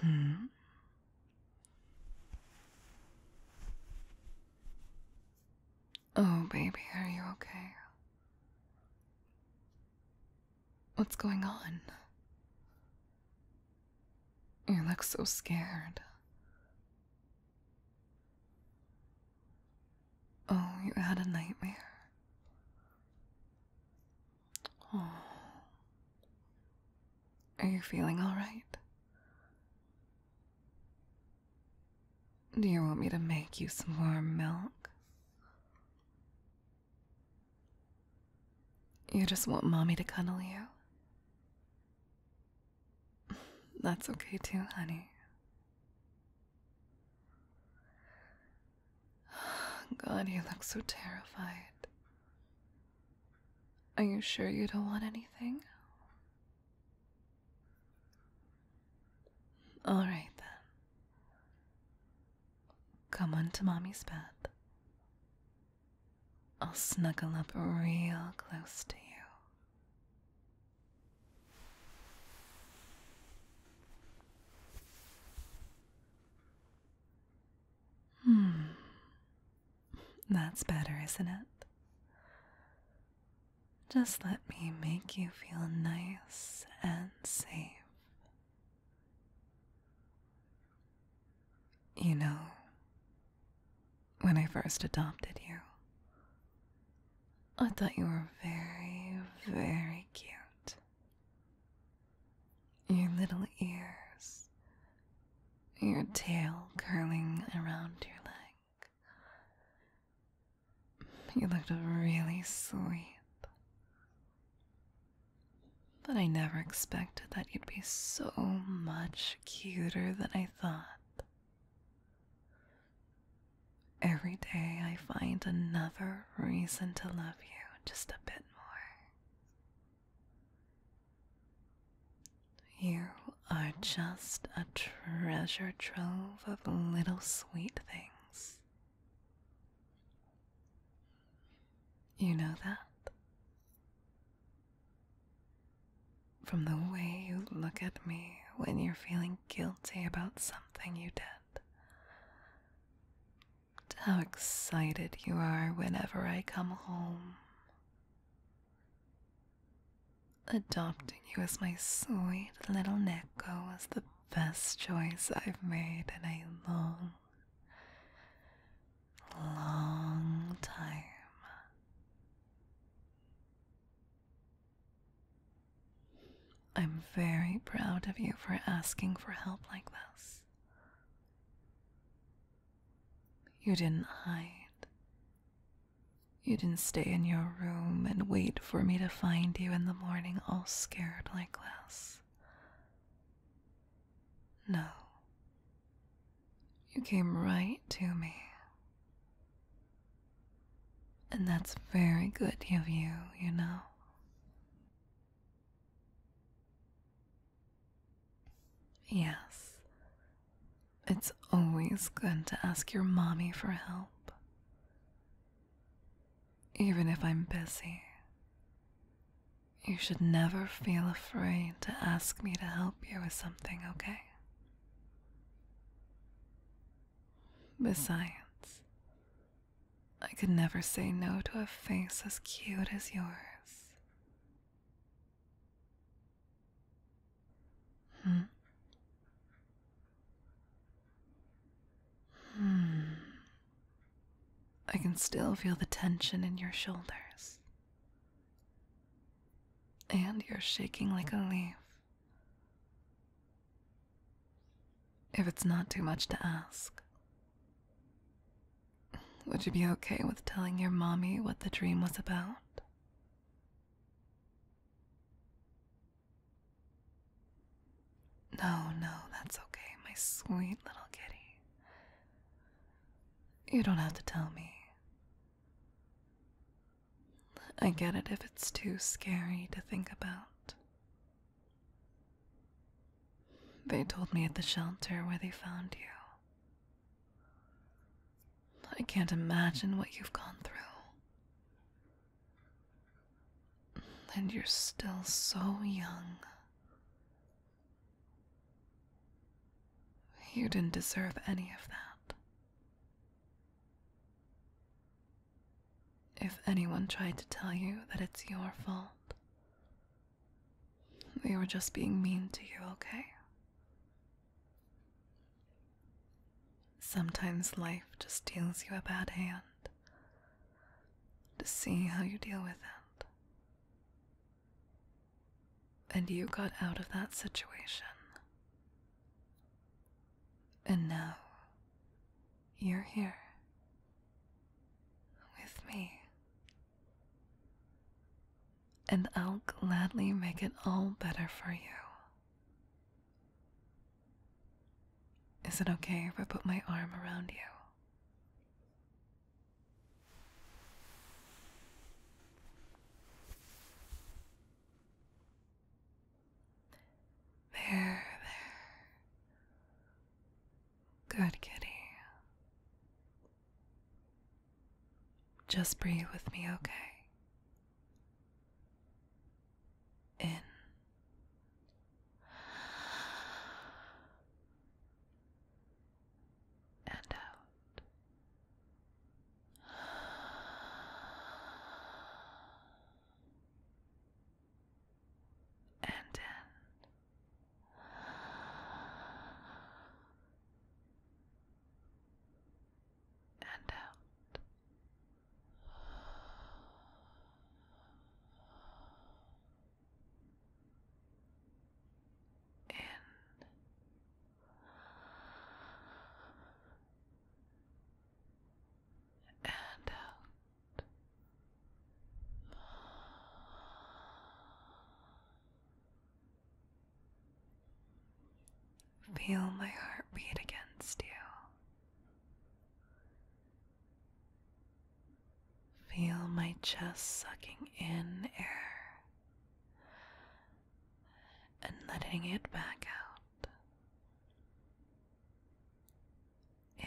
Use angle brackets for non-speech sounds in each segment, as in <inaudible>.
Hmm. Oh, baby, are you okay? What's going on? You look so scared. Oh, you had a nightmare. Oh. Are you feeling alright? Do you want me to make you some warm milk? You just want mommy to cuddle you? That's okay too, honey. God, you look so terrified. Are you sure you don't want anything? All right then. Come onto mommy's bed. I'll snuggle up real close to you. Hmm. That's better, isn't it? Just let me make you feel nice and safe. You know, when I first adopted you. I thought you were very, very cute. Your little ears, your tail curling around your leg. You looked really sweet. But I never expected that you'd be so much cuter than I thought. Every day I find another reason to love you just a bit more. You are just a treasure trove of little sweet things. You know that? From the way you look at me when you're feeling guilty about something you did, to how excited you are whenever I come home. Adopting you as my sweet little Neko was the best choice I've made in a long, long time. I'm very proud of you for asking for help like this. You didn't hide. You didn't stay in your room and wait for me to find you in the morning all scared like this. No. You came right to me. And that's very good of you, you know. Yes. It's always good to ask your mommy for help. Even if I'm busy, you should never feel afraid to ask me to help you with something okay? Besides, I could never say no to a face as cute as yours. Hmm. Hmm. I can still feel the tension in your shoulders. And you're shaking like a leaf. If it's not too much to ask, would you be okay with telling your mommy what the dream was about? No, no, that's okay, my sweet little kitty. You don't have to tell me. I get it if it's too scary to think about. They told me at the shelter where they found you. I can't imagine what you've gone through. And you're still so young. You didn't deserve any of that. If anyone tried to tell you that it's your fault, they were just being mean to you, okay? Sometimes life just deals you a bad hand to see how you deal with it. And you got out of that situation. And now you're here with me. And I'll gladly make it all better for you. Is it okay if I put my arm around you? There, there. Good kitty. Just breathe with me, okay? In and out. And in. And out in and out. Feel my heartbeat against you. Feel my chest sucking in air and letting it back out. In.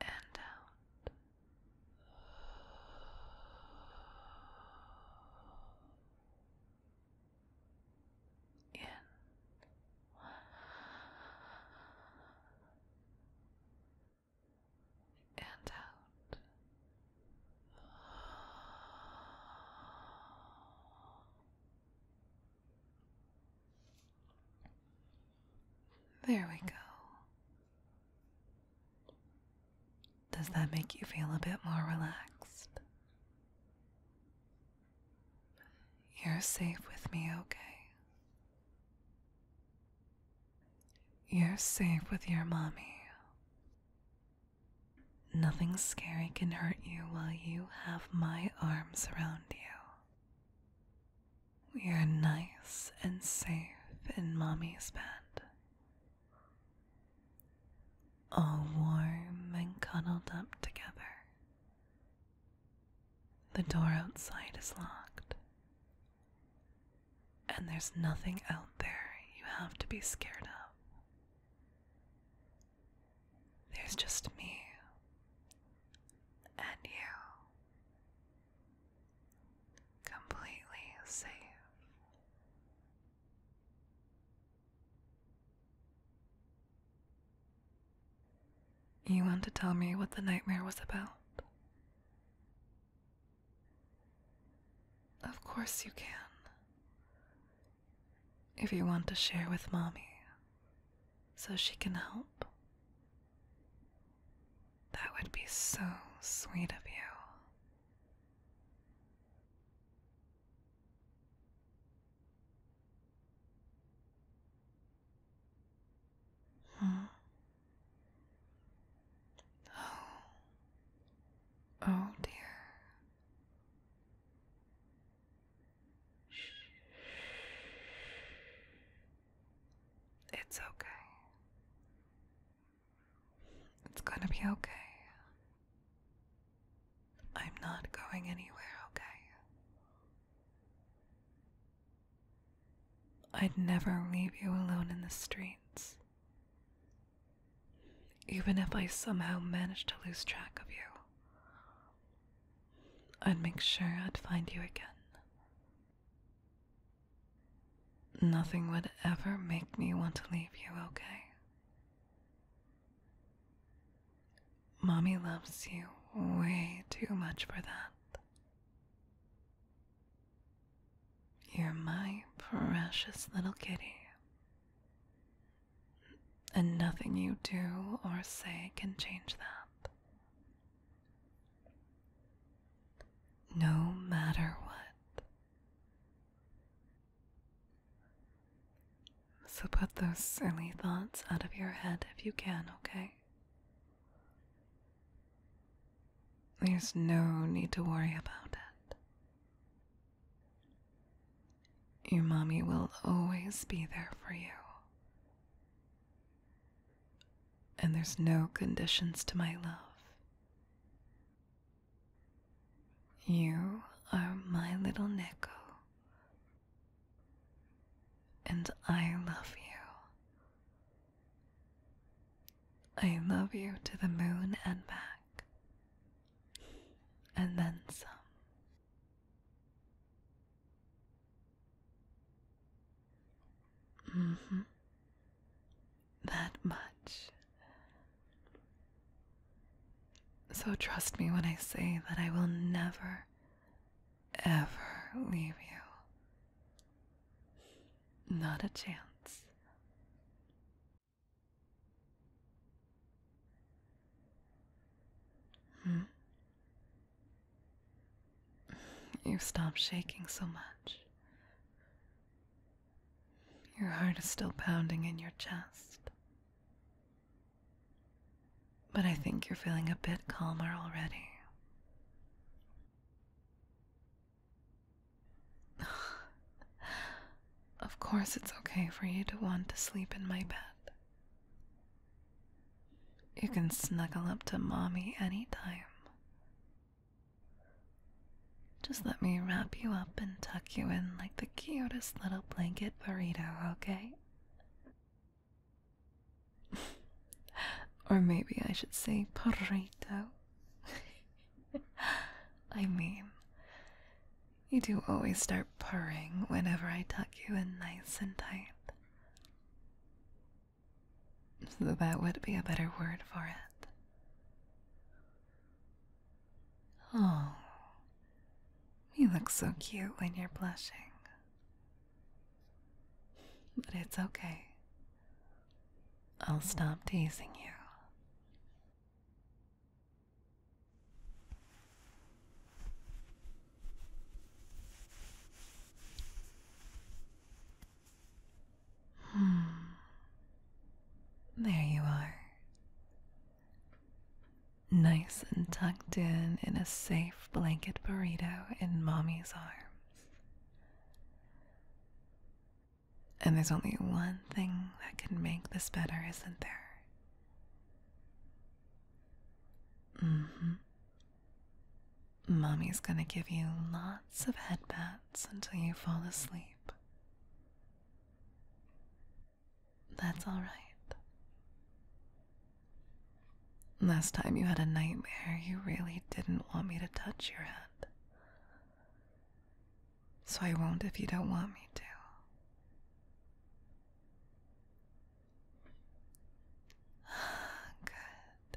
And out in and out. There we go. Does that make you feel a bit more relaxed? You're safe with me, okay? You're safe with your mommy. Nothing scary can hurt you while you have my arms around you. We are nice and safe in mommy's bed all warm and cuddled up together. The door outside is locked, and there's nothing out there you have to be scared of. There's just me and you, completely safe. You want to tell me what the nightmare was about? Of course you can. If you want to share with mommy so she can help, that would be so sweet of you. Huh? Oh. Oh dear. Shh. It's okay. It's gonna be okay. I'm not going anywhere, okay? I'd never leave you alone in the streets. Even if I somehow managed to lose track of you, I'd make sure I'd find you again. Nothing would ever make me want to leave you, okay? Mommy loves you way too much for that. You're my precious little kitty. And nothing you do or say can change that. No matter what, so put those silly thoughts out of your head if you can, okay? There's no need to worry about it. Your mommy will always be there for you. And there's no conditions to my love. You are my little Neko, and I love you. I love you to the moon and back, and then some. -hmm that much. So trust me when I say that I will never, ever leave you. Not a chance. Hmm? you stop shaking so much. Your heart is still pounding in your chest. But I think you're feeling a bit calmer already. <sighs> of course, it's okay for you to want to sleep in my bed. You can snuggle up to mommy anytime. Just let me wrap you up and tuck you in like the cutest little blanket burrito, okay? <laughs> or maybe I should say burrito. <laughs> I mean, you do always start purring whenever I tuck you in nice and tight. So that would be a better word for it. Oh, you look so cute when you're blushing. But it's okay. I'll stop teasing you. Hmm. <sighs> There you are. Nice and tucked in in a safe blanket burrito in mommy's arms. And there's only one thing that can make this better, isn't there? Mm-hmm. Mommy's gonna give you lots of headbats until you fall asleep. That's all right. Last time you had a nightmare, you really didn't want me to touch your head. So I won't if you don't want me to. <sighs> Good.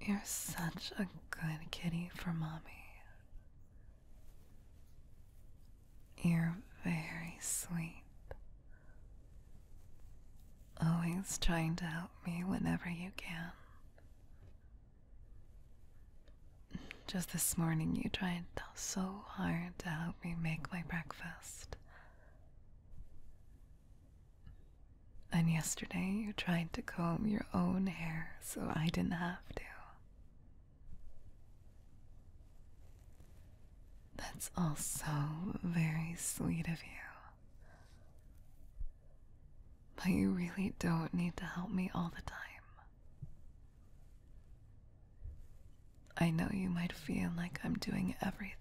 You're such a good kitty for mommy. You're very sweet. Always trying to help me whenever you can. Just this morning, you tried so hard to help me make my breakfast. And yesterday, you tried to comb your own hair so I didn't have to. That's also very sweet of you. But you really don't need to help me all the time. I know you might feel like I'm doing everything,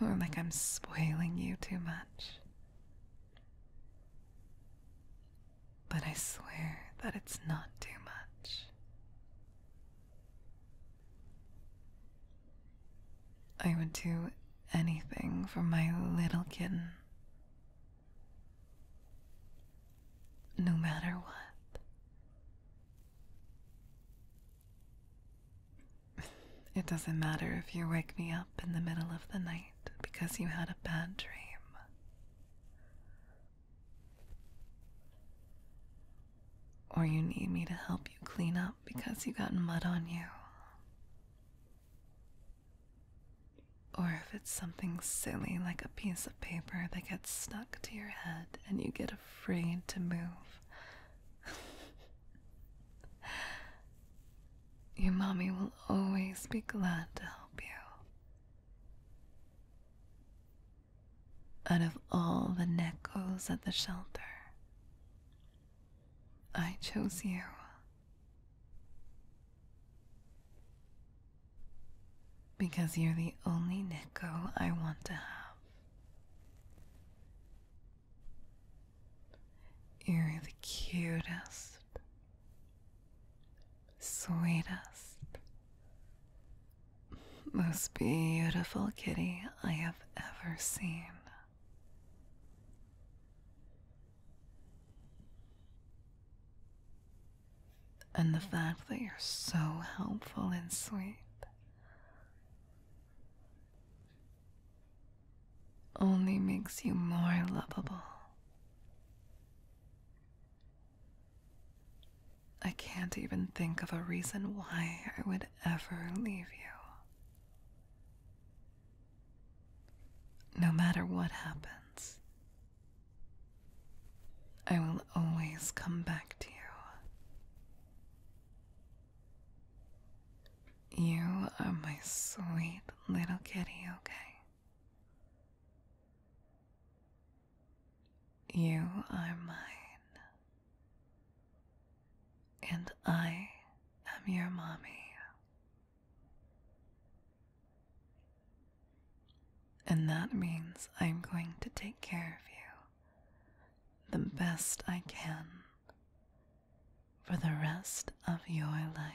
or like I'm spoiling you too much. But I swear that it's not too much. I would do anything for my little kitten no matter what. It doesn't matter if you wake me up in the middle of the night because you had a bad dream. Or you need me to help you clean up because you got mud on you. Or if it's something silly like a piece of paper that gets stuck to your head and you get afraid to move. <laughs> Your mommy will always be glad to help you. Out of all the Nekos at the shelter, I chose you because you're the only Nico I want to have. You're the cutest, sweetest, most beautiful kitty I have ever seen and the fact that you're so helpful and sweet. Only makes you more lovable. I can't even think of a reason why I would ever leave you. No matter what happens, I will always come back to you. You are my sweet little kitty, okay? You are mine, and I am your mommy. And that means I'm going to take care of you the best I can for the rest of your life.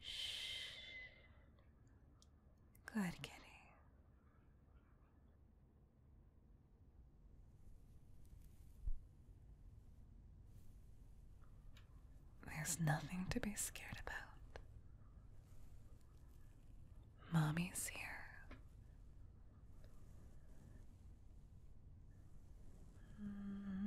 Shh. Good kitty. There's nothing to be scared about. Mommy's here. Mm-hmm.